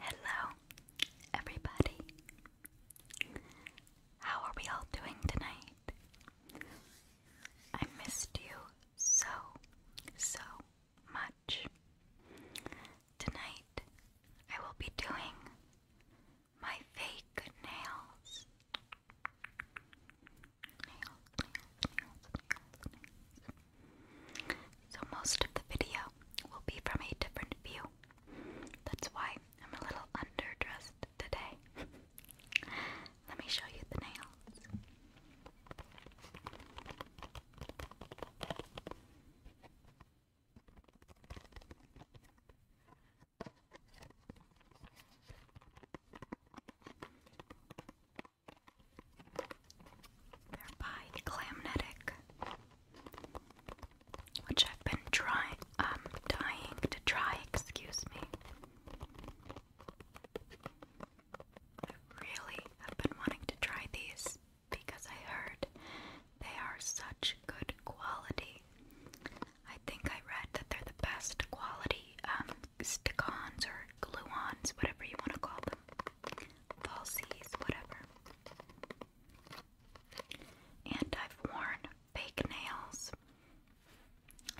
Hello, everybody. How are we all doing tonight? I missed you so, so much. Tonight, I will be doing my fake nails. nails. So, most of the video will be from a different view. That's why I'm a little underdressed today. Let me show you the nails. They're Clamnetic, which I've been trying, um, dying to try, excuse me. I really have been wanting to try these because I heard they are such good quality. I think I read that they're the best quality um, stick-ons or glue-ons, whatever you want to call them falsies, whatever. And I've worn fake nails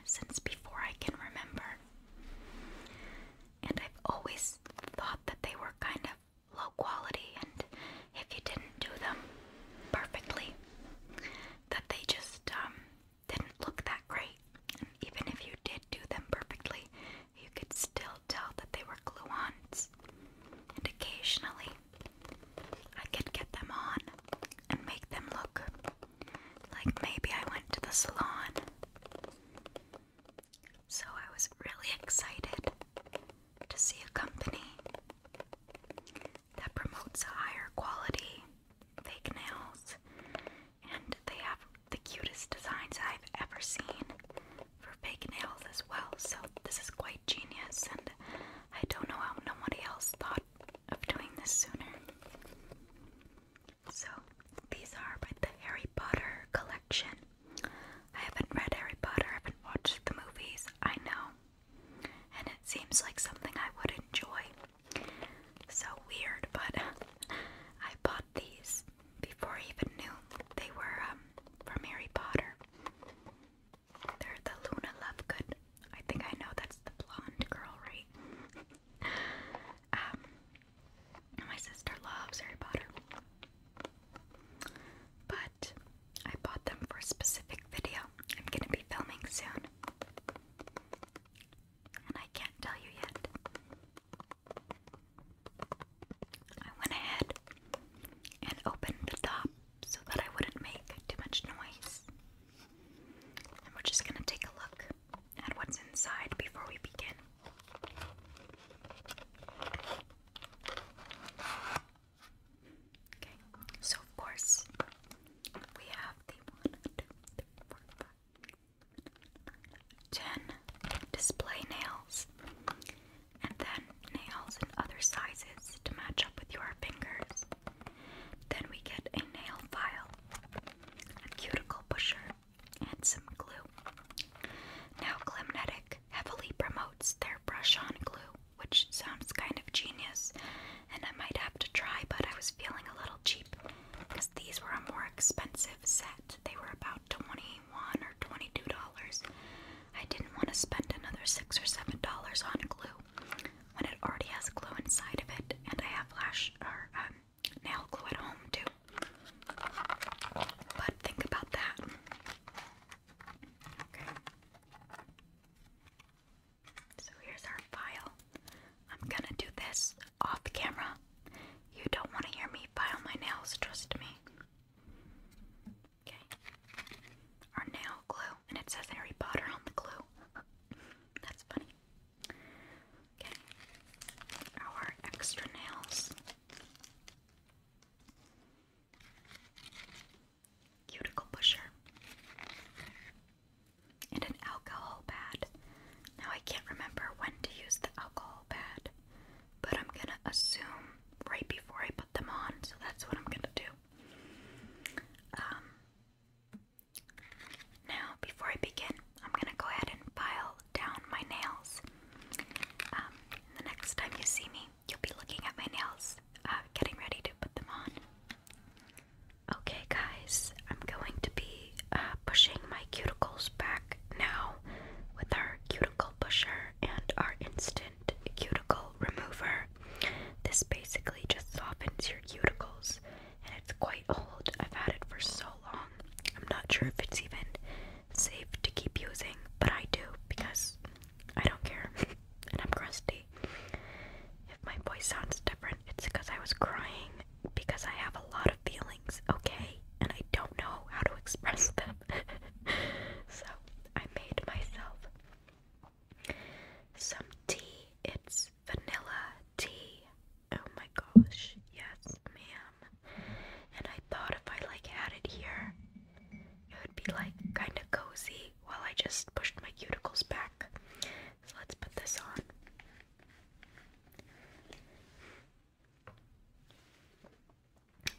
since before I can remember. And I've always thought that they were kind of low quality, and if you didn't do them perfectly, that they just um, didn't look that great. even if you did do them perfectly, you could still tell that they were glue-ons, and occasionally I could get them on and make them look like maybe I went to the salon. So I was really excited to see a company that promotes a higher quality fake nails and they have the cutest designs I've ever seen for fake nails as well. So this is quite genius, and I don't know how nobody else thought of doing this sooner. So these are by the Harry Potter collection. I haven't read Harry Potter, I haven't watched the movies, I know. And it seems like something I would enjoy. So weird, but I bought these before I even knew they were um, from Harry Potter. They're the Luna Lovegood. I think I know that's the blonde girl, right? um, my sister loves Harry Potter. But I bought them for a specific video I'm gonna be filming soon. And I can't tell you yet. I went ahead and opened the top so that I wouldn't make too much noise. And we're just going to take a look at what's inside before we begin. Okay, so of course, we have the 1, 10. Display nails. And then nails in other sizes to match up with your fingers. Then we get a nail file, a cuticle pusher, and some glue. Now, Glimnetic heavily promotes their brush on glue, which sounds kind of genius, and I might have to try, but I was feeling a little cheap because these were a more expensive set. They were about twenty-one or twenty-two dollars. I didn't want to spend another six or seven dollars on glue when it already has glue inside of it, and I have lash or um, nail glue at home too. But think about that. Okay. So here's our file. I'm gonna do this off camera. You don't want to hear me file my nails, trust me. Okay. Our nail glue, and it says Harry Potter on the glue. That's funny. Okay. Our extra nails. Cuticle pusher. And an alcohol pad. Now I can't remember when to use the alcohol pad, but I'm gonna assume right before I put them on, so that's what I'm gonna do. Um, now, before I begin, I'm gonna go ahead and file down my nails. Um, the next time you see me, you'll be looking at my nails, uh, getting ready to put them on. Okay, guys, I'm going to be uh, pushing my cuticles back now with our cuticle pusher and our instant cuticle remover. This basically just softens your cuticles and it's quite old. I've had it for so long. I'm not sure if it's even safe to keep using, but I do because I don't care and I'm crusty. If my voice sounds different, it's because I was crying because I have a lot of feelings, okay? And I don't know how to express them. so I made myself some tea. It's vanilla tea. Oh my gosh. Yes, ma'am. And I thought if I like had it here, it would be like kind of cozy while I just pushed my cuticles back. So let's put this on.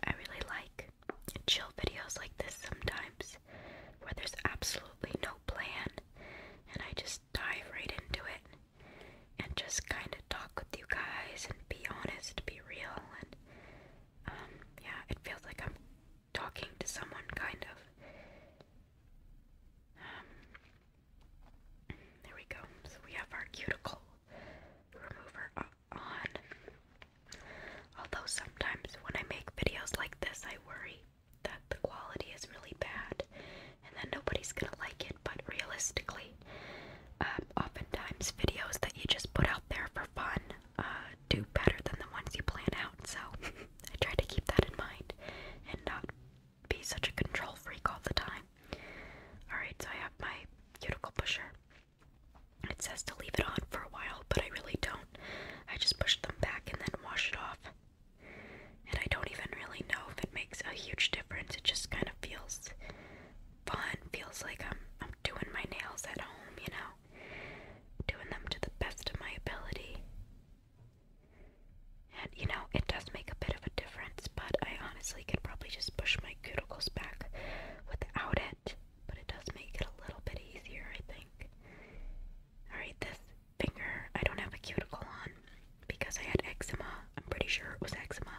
I really like chill videos like this sometimes where there's absolutely no plan and I just dive right into it and just kind of talk with you guys and be honest, be real and um, yeah, it feels like I'm talking to someone kind of um, there we go. we have our cuticle remover on. Although sometimes when I make videos like this, I worry that the quality is really bad and then nobody's gonna like it. But realistically, um, oftentimes videos that you just put out there for fun uh, do better than the ones you plan out. So I try to keep that in mind and not be such a control freak all the time. Alright, so I have my cuticle pusher. It says to leave it on for a while, but I really don't. I just push them back and then wash it off. And I don't even really know if it makes a huge difference. It just kind of feels fun. Feels like I'm I'm doing my nails at home, you know. Doing them to the best of my ability. And you know, it does make a bit of a difference, but I honestly could probably just push my cuticles back without it, but it does make it a little bit easier, I think. Alright, this finger, I don't have a cuticle on because I had eczema. I'm pretty sure it was eczema,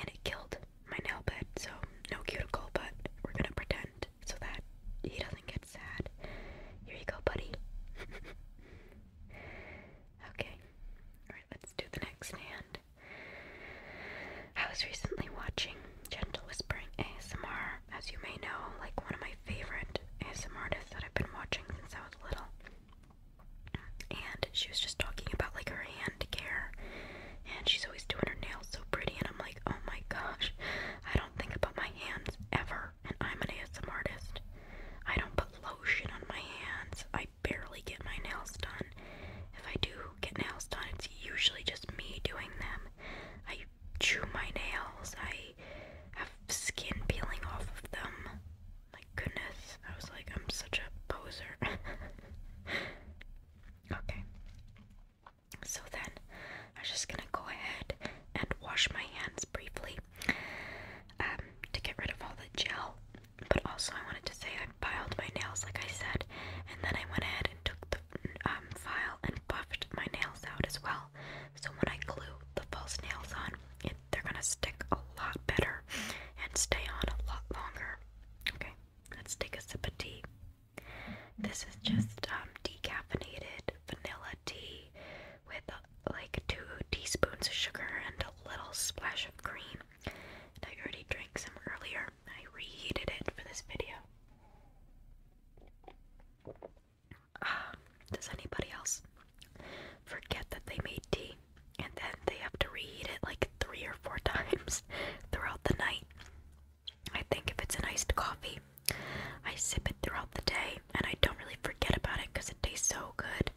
and it killed my nail bed, so no cuticle, but we're gonna pretend so that he doesn't get sad. Here you go, buddy. Okay. Alright, let's do the next hand. I was recently watching Gentle Whispering ASMR. As you may know, like one of my favorite ASMR artists that I've been watching since I was little. And she was just talking about like her hand care. And she's always doing her nails so pretty and I'm like, oh my gosh, I don't think about my hands ever and I'm an ASMR artist. I don't put lotion on my hands. I barely get my nails done. If I do get nails done, it's usually just me doing them. I chew my nails. I have skin peeling off of them. My goodness, I was like, I'm such a poser. okay. So then, I'm just gonna go ahead and wash my hands briefly. Um, to get rid of all the gel. But also, I wanted to say I filed my nails, like I said, and then I went ahead and took the um, file and buffed my nails out as well. So when I glue the false nails on, they're gonna stick a lot better and stay on a lot longer. Okay, let's take a sip of tea. This is just um, decaffeinated vanilla tea with like two teaspoons of sugar and a little splash of cream. I already drank some earlier. I reheated it for this video. Ah, does anybody else forget that they made tea and then they have to reheat it like three or four times throughout the night? I think if it's an iced coffee, I sip it throughout the day and I don't really forget about it because it tastes so good.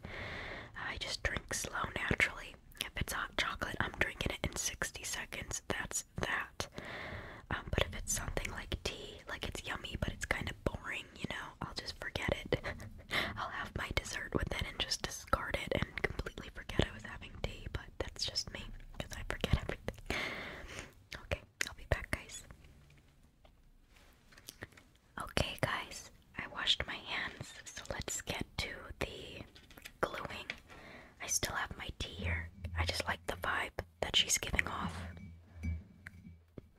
I just drink slow naturally. If it's hot chocolate, I'm drinking it in 60 seconds. That's that. Um, but if it's something like tea, like it's yummy, but it's kind of boring, you know, I'll just forget it. I'll have my dessert with it and just discard it and completely forget I was having tea, but that's just me because I forget everything. okay, I'll be back, guys. Okay, guys, I washed my hands, so let's get to the gluing. I still have my tea here. I just like the vibe that she's giving off.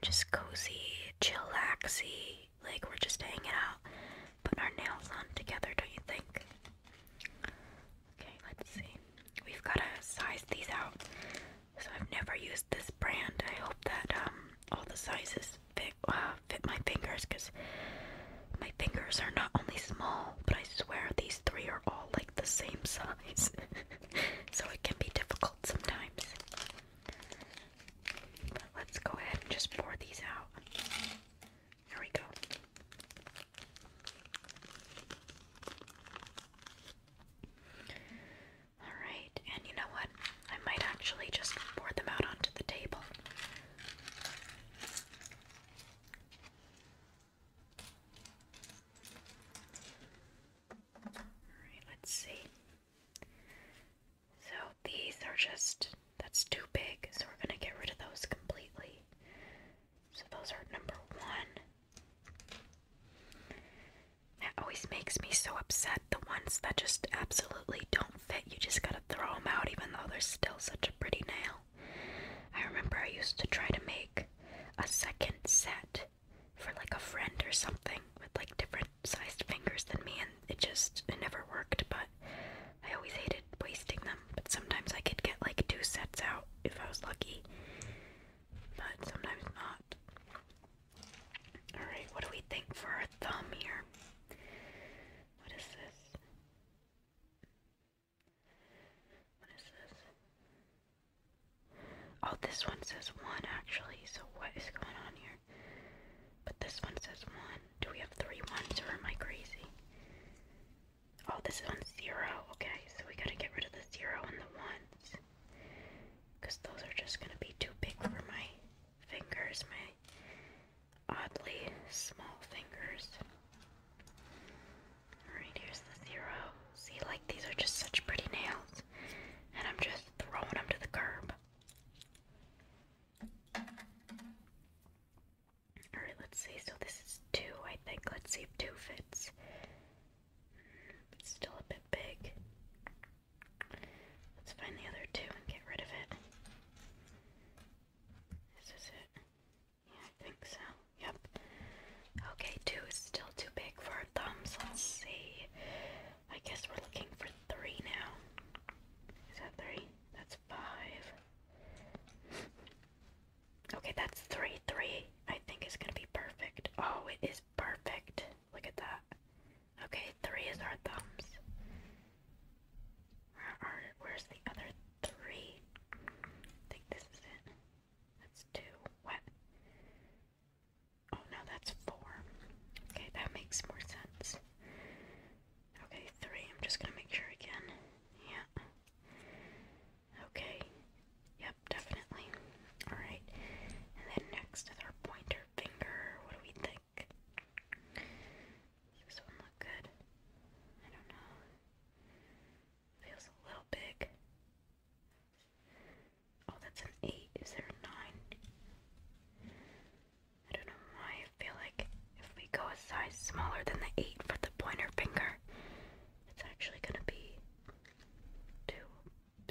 Just cozy, chillaxy, like we're just hanging out, putting our nails on together, don't you think? Okay, let's see. We've got to size these out. So I've never used this brand. I hope that um, all the sizes fit uh, fit my fingers because my fingers are not only small, but I swear these three are all like the same size. so it can be difficult sometimes. let's go ahead and just pour these out. There we go. Alright, and you know what? I might actually just pour them out onto the table. Alright, let's see. So these are just, that's too big, so we're going to get rid of those completely. So those are number one. That always makes me so upset. The ones that just absolutely don't fit, you just gotta throw them out, even though they're still such a pretty nail. I remember I used to try to make a second set for like a friend or something with like different sized fingers than me, and it just it never worked. But I always hated wasting them. But sometimes I could get like two sets out if I was lucky, but sometimes not. Alright, what do we think for our thumb here? What is this? What is this? Oh, this one says one actually, so what is going on here? But this one says one. Do we have three ones or am I crazy? Oh, this one's zero. Okay, so we gotta get rid of the zero and the ones because those are just going to be too big for my fingers, my oddly small fingers. Alright, here's the zero. See, like these are just such pretty nails, and I'm just throwing them to the curb. Alright, let's see. So this is two, I think. Let's see if two fits. It's still a bit big. Let's find the other two and get rid of it. This is it. Yeah, I think so. Yep. Okay, two is still too big for our thumbs. Let's see. I guess we're looking for three now. Is that three? That's five. Okay, that's three. Three, I think, it's going to be perfect. Oh, it is perfect. Look at that. Okay, three is our thumbs. Where are where's the other three? I think this is it. That's two. What? Oh no, that's four. Okay, that makes more sense. Okay, three. I'm just gonna make sure again. Yeah. Okay. Yep, definitely. Alright. And then next is our pointer finger. What do we think? Does this one look good? I don't know. Feels a little big. Oh, that's an 8. Is there a 9? I don't know I feel like if we go a size smaller than the 8 for the pointer finger, it's actually going to be too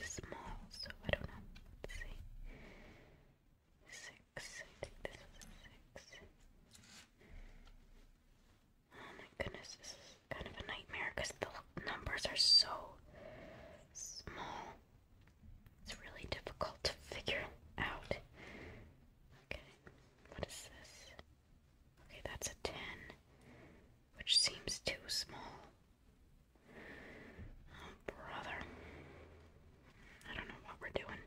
small, so I don't know. Let's see. Six. I think this was six. Oh my goodness, this is kind of a nightmare because the numbers are so small. It's really difficult to figure out. Okay, what is this? Okay, that's a 10 which seems too small. Oh, brother. I don't know what we're doing.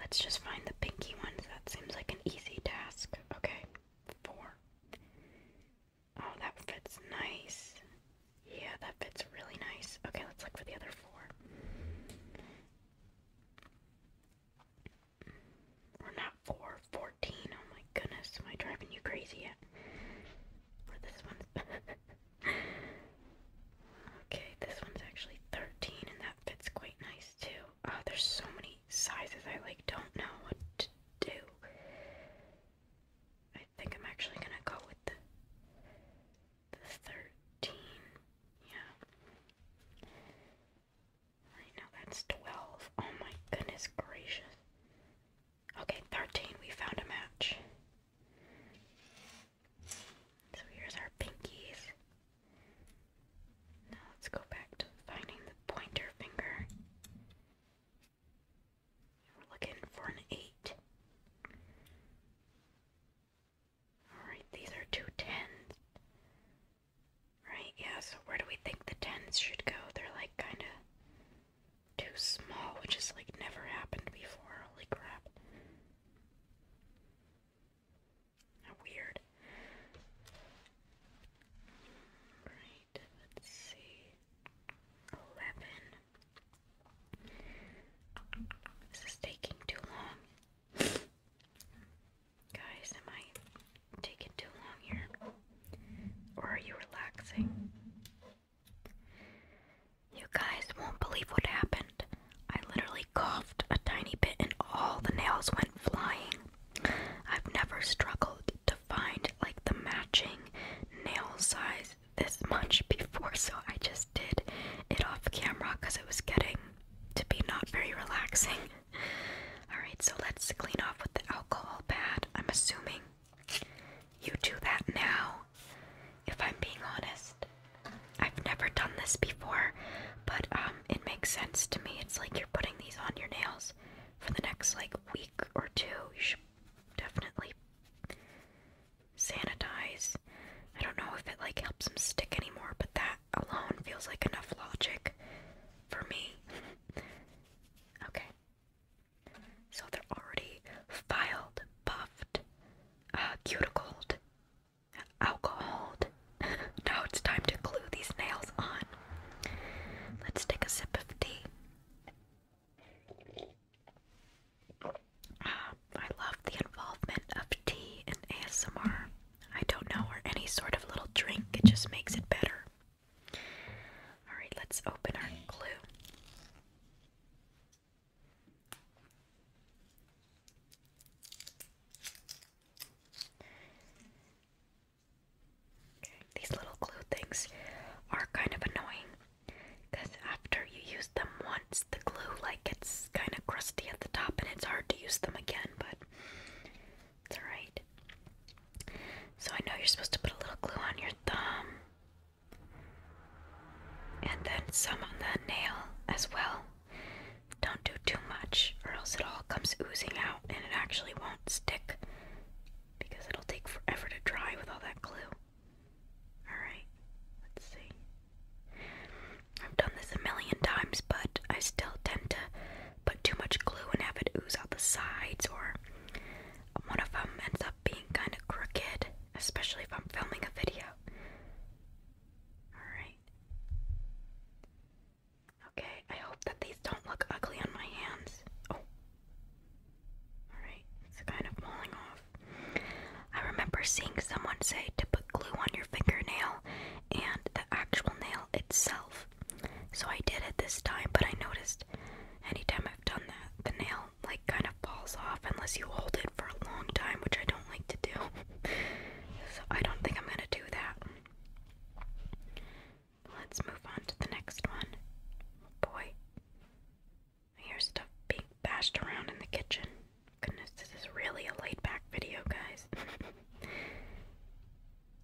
Let's just find the pinky ones. That seems like an easy task. Okay, four. Oh, that fits nice. Yeah, that fits really nice. Okay, let's look for the other four. Or not four, Oh my goodness, am I driving you crazy yet? okay, this one's actually 13, and that fits quite nice too. Oh, there's so many sizes I like, don't know what to do. I think I'm actually gonna go with the, the 13. Yeah. Right now that's 12. Oh my goodness gracious. Okay, 13. We found a match. So here's our pinkies. Now let's go back to finding the pointer finger. We're looking for an 8. Alright, these are two tens. Right, yeah, so where do we think the tents should go? They're like kinda too small, which is like never happened before. Holy crap. How weird. Right, let's see. Eleven. This is taking too long. Guys, am I taking too long here? Or are you relaxing? You guys won't believe what happened. I literally coughed a tiny bit and all the nails went flying. I've never struggled to find like the matching nail size this much before, so I just did it off camera because it was getting to be not very relaxing. Alright, so let's clean off with the alcohol pad. I'm assuming you do that now, if I'm being honest. I've never done this before, but um, it makes sense to me. It's like you're putting these on your nails for the next like week or two. You should definitely sanitize. I don't know if it like helps them stick anymore, but that alone feels like enough logic for me. Okay. So they're already filed, buffed, uh, cuticled, alcoholed. now it's time to glue these nails on. Let's take a sip of tea. Uh, I love the involvement of tea in ASMR. I don't know, or any sort of little drink. It just makes it better. Alright, let's open our glue. Okay, these little glue things are kind of annoying because after you use them once, the glue like gets kind of crusty at the top and it's hard to use them again, but it's alright. So I know you're supposed to put a little glue on your thumb. And then some on the nail as well. Don't do too much, or else it all comes oozing out and it actually won't stick because it'll take forever to dry with all that glue. Alright, let's see. I've done this a million times, but I still tend to put too much glue and have it ooze out the sides, or one of them ends up being kind of crooked, especially if I'm filming a video. Alright. Okay, I hope that these don't look ugly on my hands. Oh. Alright, it's kind of falling off. I remember seeing someone say to put glue on your fingernail and the actual nail itself so I did it this time, but I noticed anytime I've done that, the nail like kind of falls off unless you hold it for a long time, which I don't like to do. so I don't think I'm gonna do that. Let's move on to the next one. boy. I hear stuff being bashed around in the kitchen. Goodness, this is really a laid back video, guys.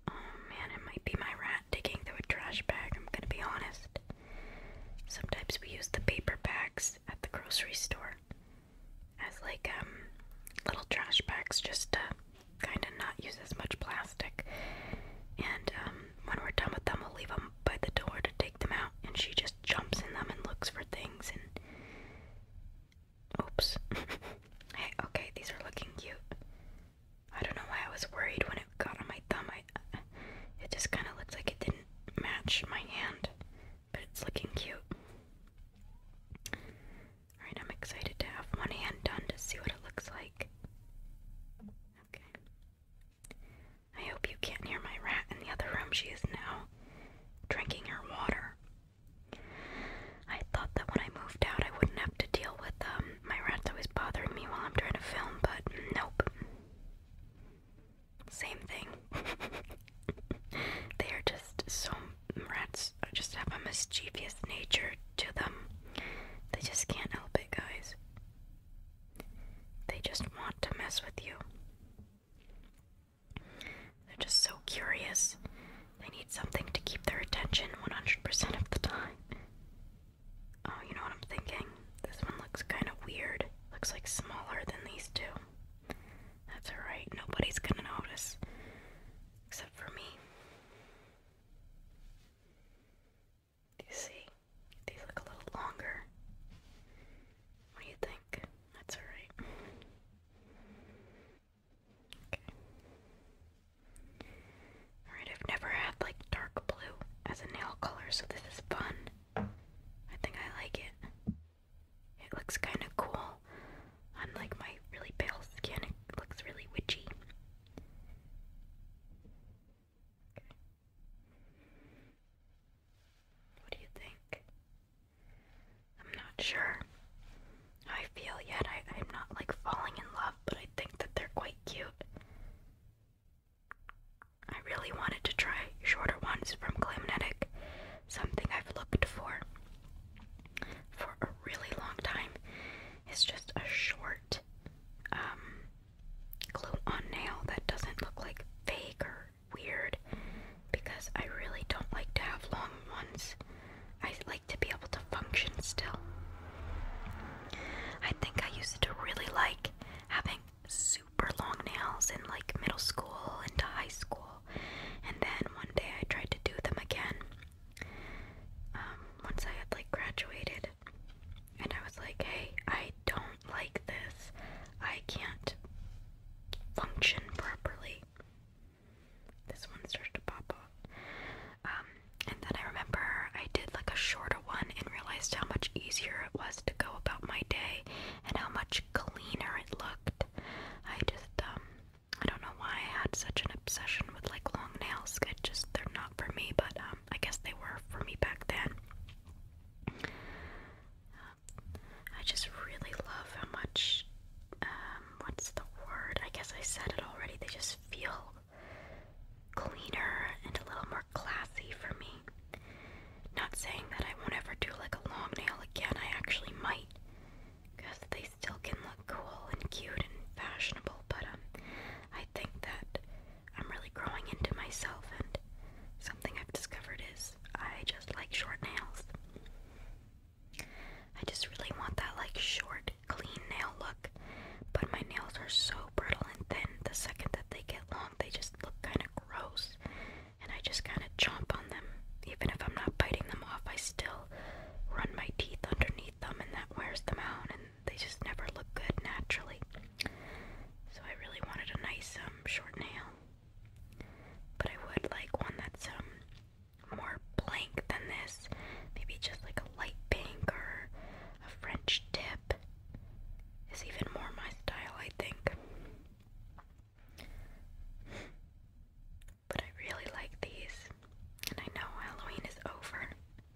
Oh man, it might be my rat digging through a trash bag, I'm gonna be honest. Sometimes we use the paper bags at the grocery store as like um little trash bags just to kind of not use as much plastic. And um, when we're done with them, we'll leave them by the door to take them out and she just jumps in them and looks for things and Oops. hey, okay, these are looking cute. I don't know why I was worried when it got on my thumb. I, uh, it just kind of looked like it didn't match my hand, but it's looking cute. Alright, I'm excited to have one hand done to see what it looks like. Okay. I hope you can't hear my rat in the other room. She is now drinking her water. I thought that when I moved out, I wouldn't have to deal with um, my rats always bothering me while I'm trying to film, but nope. Same thing. they are just so. Rats just have a mischievous nature to them. They just can't help it, guys. They just want to mess with you. They're just so curious. They need something to keep their attention 100% of the time. Oh, you know what I'm thinking? This one looks kind of weird. Looks like smaller than these two. That's alright, nobody's gonna notice. Except for me. You see? These look a little longer. What do you think? That's alright. Alright, I've never had like dark blue as a nail color, so this is fun. I think I like it. It looks kind of cool on like my really pale skin. It looks really witchy. What do you think? I'm not sure I feel yet. I, I'm not like falling in love, but I think that they're quite cute. I really wanted to try shorter ones from Glamnetic, something I've looked for for a really long time. It's just a short um, glue on nail that doesn't look like fake or weird because I really don't like to have long ones. I like to be able to function still. I think I used to really like having super long nails in like middle school into high school, and then one day I tried to do them again. Um, once I had like graduated, and I was like, hey, I don't like this. I can't function properly. This one starts to pop off. Um, and then I remember I did like a shorter one and realized how much easier it was to go about my day and how much cleaner it looked. I just, um, I don't know why I had such an obsession with like long nails. I just, they're not for me, but um, I guess they were for me back then. I just really love how much, um, what's the word? I guess I said it already. They just feel cleaner and a little more classy for me. Not saying that I won't ever do like a long nail again, I actually might. Because they still can look cool and cute and fashionable, but um, I think that I'm really growing into myself, and something I've discovered is I just like short nails. I just really want that like short, clean nail look, but my nails are so brittle and thin. The second that they get long, they just look kind of gross, and I just kind of chomp on them. Even if I'm not biting them off, I still run my teeth underneath them, and that wears them out, and they just never look good naturally. So I really wanted a nice, um, short nail. But I would like one that's um, more blank than this. Maybe just like a light pink or a French tip is even more my style, I think. But I really like these. And I know Halloween is over,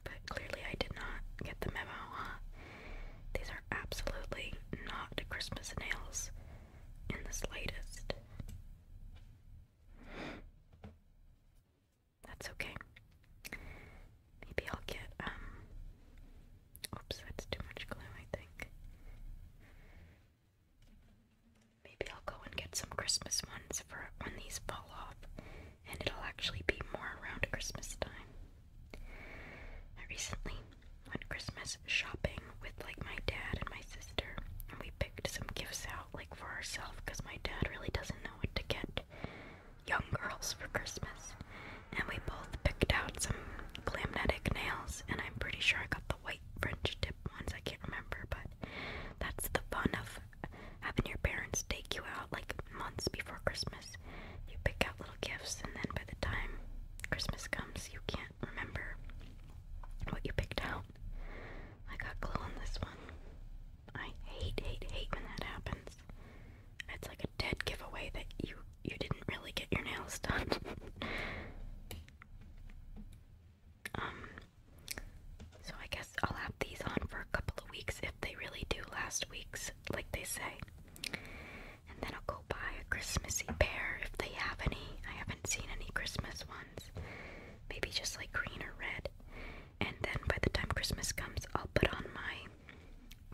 but clearly I did not get the memo, These are absolutely not Christmas nails in the slightest. That's okay. Maybe I'll get, um. Oops, that's too much glue, I think. Maybe I'll go and get some Christmas ones for when these fall off, and it'll actually be more around Christmas time. I recently went Christmas shopping with like my dad and my sister, and we picked some gifts out like for ourselves because my dad really doesn't know what to get young girls for Christmas. And we both picked out some glamnetic nails, and I'm pretty sure I got the white French tip ones. I can't remember, but that's the fun of having your parents take you out like months before Christmas. You pick out little gifts, and then by the time Christmas comes, you can't remember what you picked out. I got glue on this one. I hate, hate, hate when that happens. It's like a dead giveaway that you you didn't really get your nails done. um, so I guess I'll have these on for a couple of weeks if they really do last weeks, like they say. And then I'll go buy a Christmassy pair if they have any. I haven't seen any Christmas ones. Maybe just like green or red. And then by the time Christmas comes, I'll put on my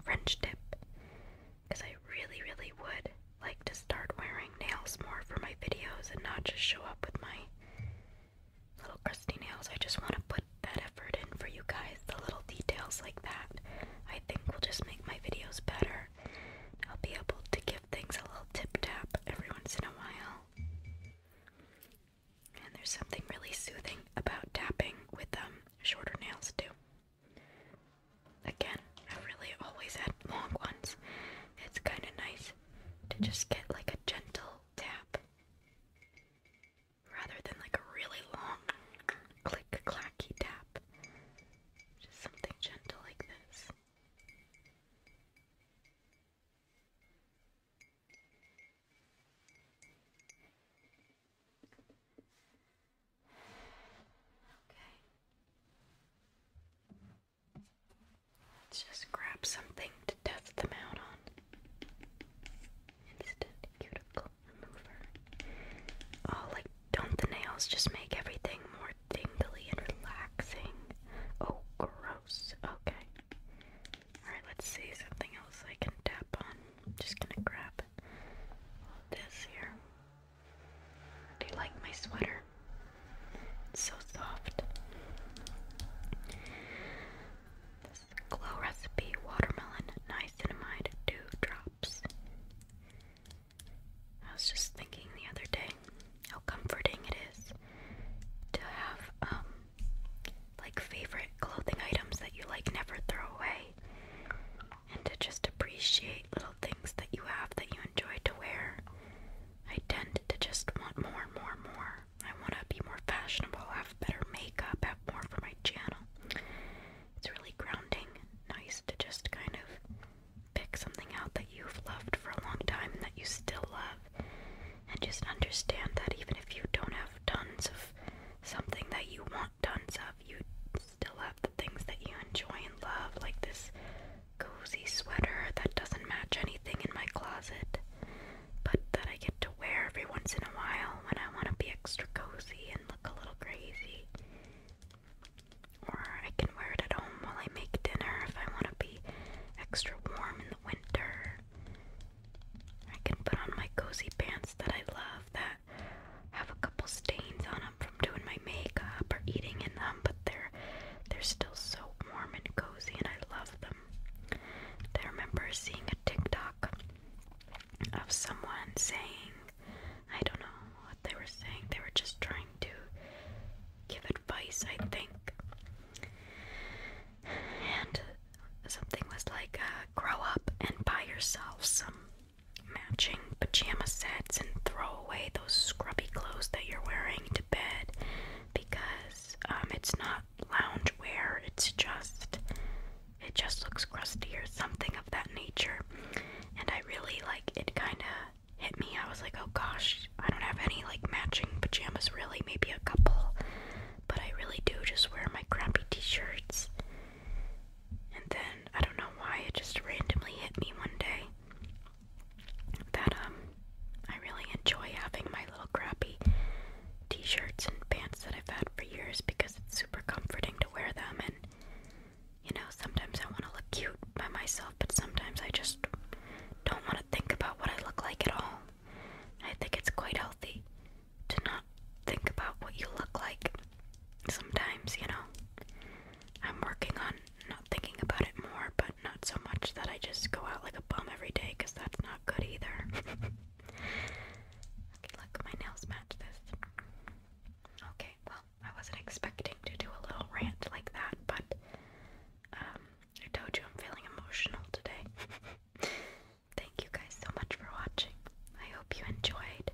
French tip. Because I really, really would like to start wearing nails more for my videos and not just show up with my little crusty nails. I just want to put that effort in for you guys. The little details like that, I think, will just make my videos better I'll be able to give things a little tip tap every once in a while. And there's something really soothing about tapping with them um, shorter nails too. Again, i really always had long ones. It's kind of nice to just get like a gentle tap rather than like a really long click clacky tap. Just something gentle like this. Okay. Let's just grab something to test them out on. Instant cuticle remover. All like don't the nails just make everything more dingly and relaxing? Oh, gross. Okay. Alright, let's see something else I can tap on. just gonna grab this here. Do you like my sweater? so soft. Glow Recipe Watermelon Niacinamide 2 Drops. I was just thinking the other day how comforting it is to have um like favorite clothing items that you like never throw away and to just appreciate little things that you have that you enjoy to wear. I tend to just want more, more, more. I want to be more fashionable, have better makeup, have more for my channel. It's really grounding. Nice to just kind of pick something out that you've loved for a long time and that you still love, and just understand that even if you don't have tons of something that you want tons of, you still have the things that you enjoy and love, like this cozy sweater that doesn't match anything in my closet, but that I get to wear every once in a while when I want to be extra cozy and look a little crazy. Or I can wear it at home while I make dinner if I want to be extra warm in the winter. I can put on my cozy pants that I love that have a couple stains on them from doing my makeup or eating in them, but they're they're still so warm and cozy and I love them. I remember seeing a TikTok of someone saying I don't know what they were saying. They were just trying to give advice, I think. And something was like, uh, grow up and buy yourself some matching pajama sets and throw away those scrubby clothes that you're wearing to bed because um, it's not lounge wear, it's just it just looks crusty or something of that nature. And I really like it kind of hit me. I was like, oh gosh, I don't have any like matching pajamas really, maybe a couple. But I really do just wear my crappy t shirts. And then I don't know why it just randomly hit me one day that um I really enjoy having my little crappy t shirts and pants that I've had for years because it's super comforting to wear them and you know, sometimes I want to look cute by myself, but sometimes I just don't want to think about what I look like at all. I think it's quite healthy to not think about what you look like sometimes, you know. I'm working on not thinking about it more, but not so much that I just go out like a bum every day because that's not good either. okay, look, my nails match this. Okay, well, I wasn't expecting to do a little rant like that, but um, I told you I'm feeling emotional today. Thank you guys so much for watching. I hope you enjoyed.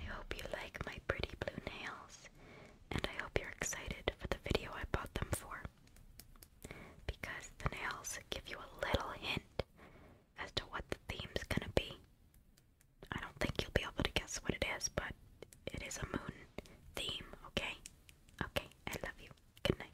I hope you like my pretty blue nails, and I hope you're excited for the video I bought them for. Because the nails give you a little hint as to what the theme's gonna be. I don't think you'll be able to guess what it is, but it is a moon theme, okay? Okay, I love you. Good night.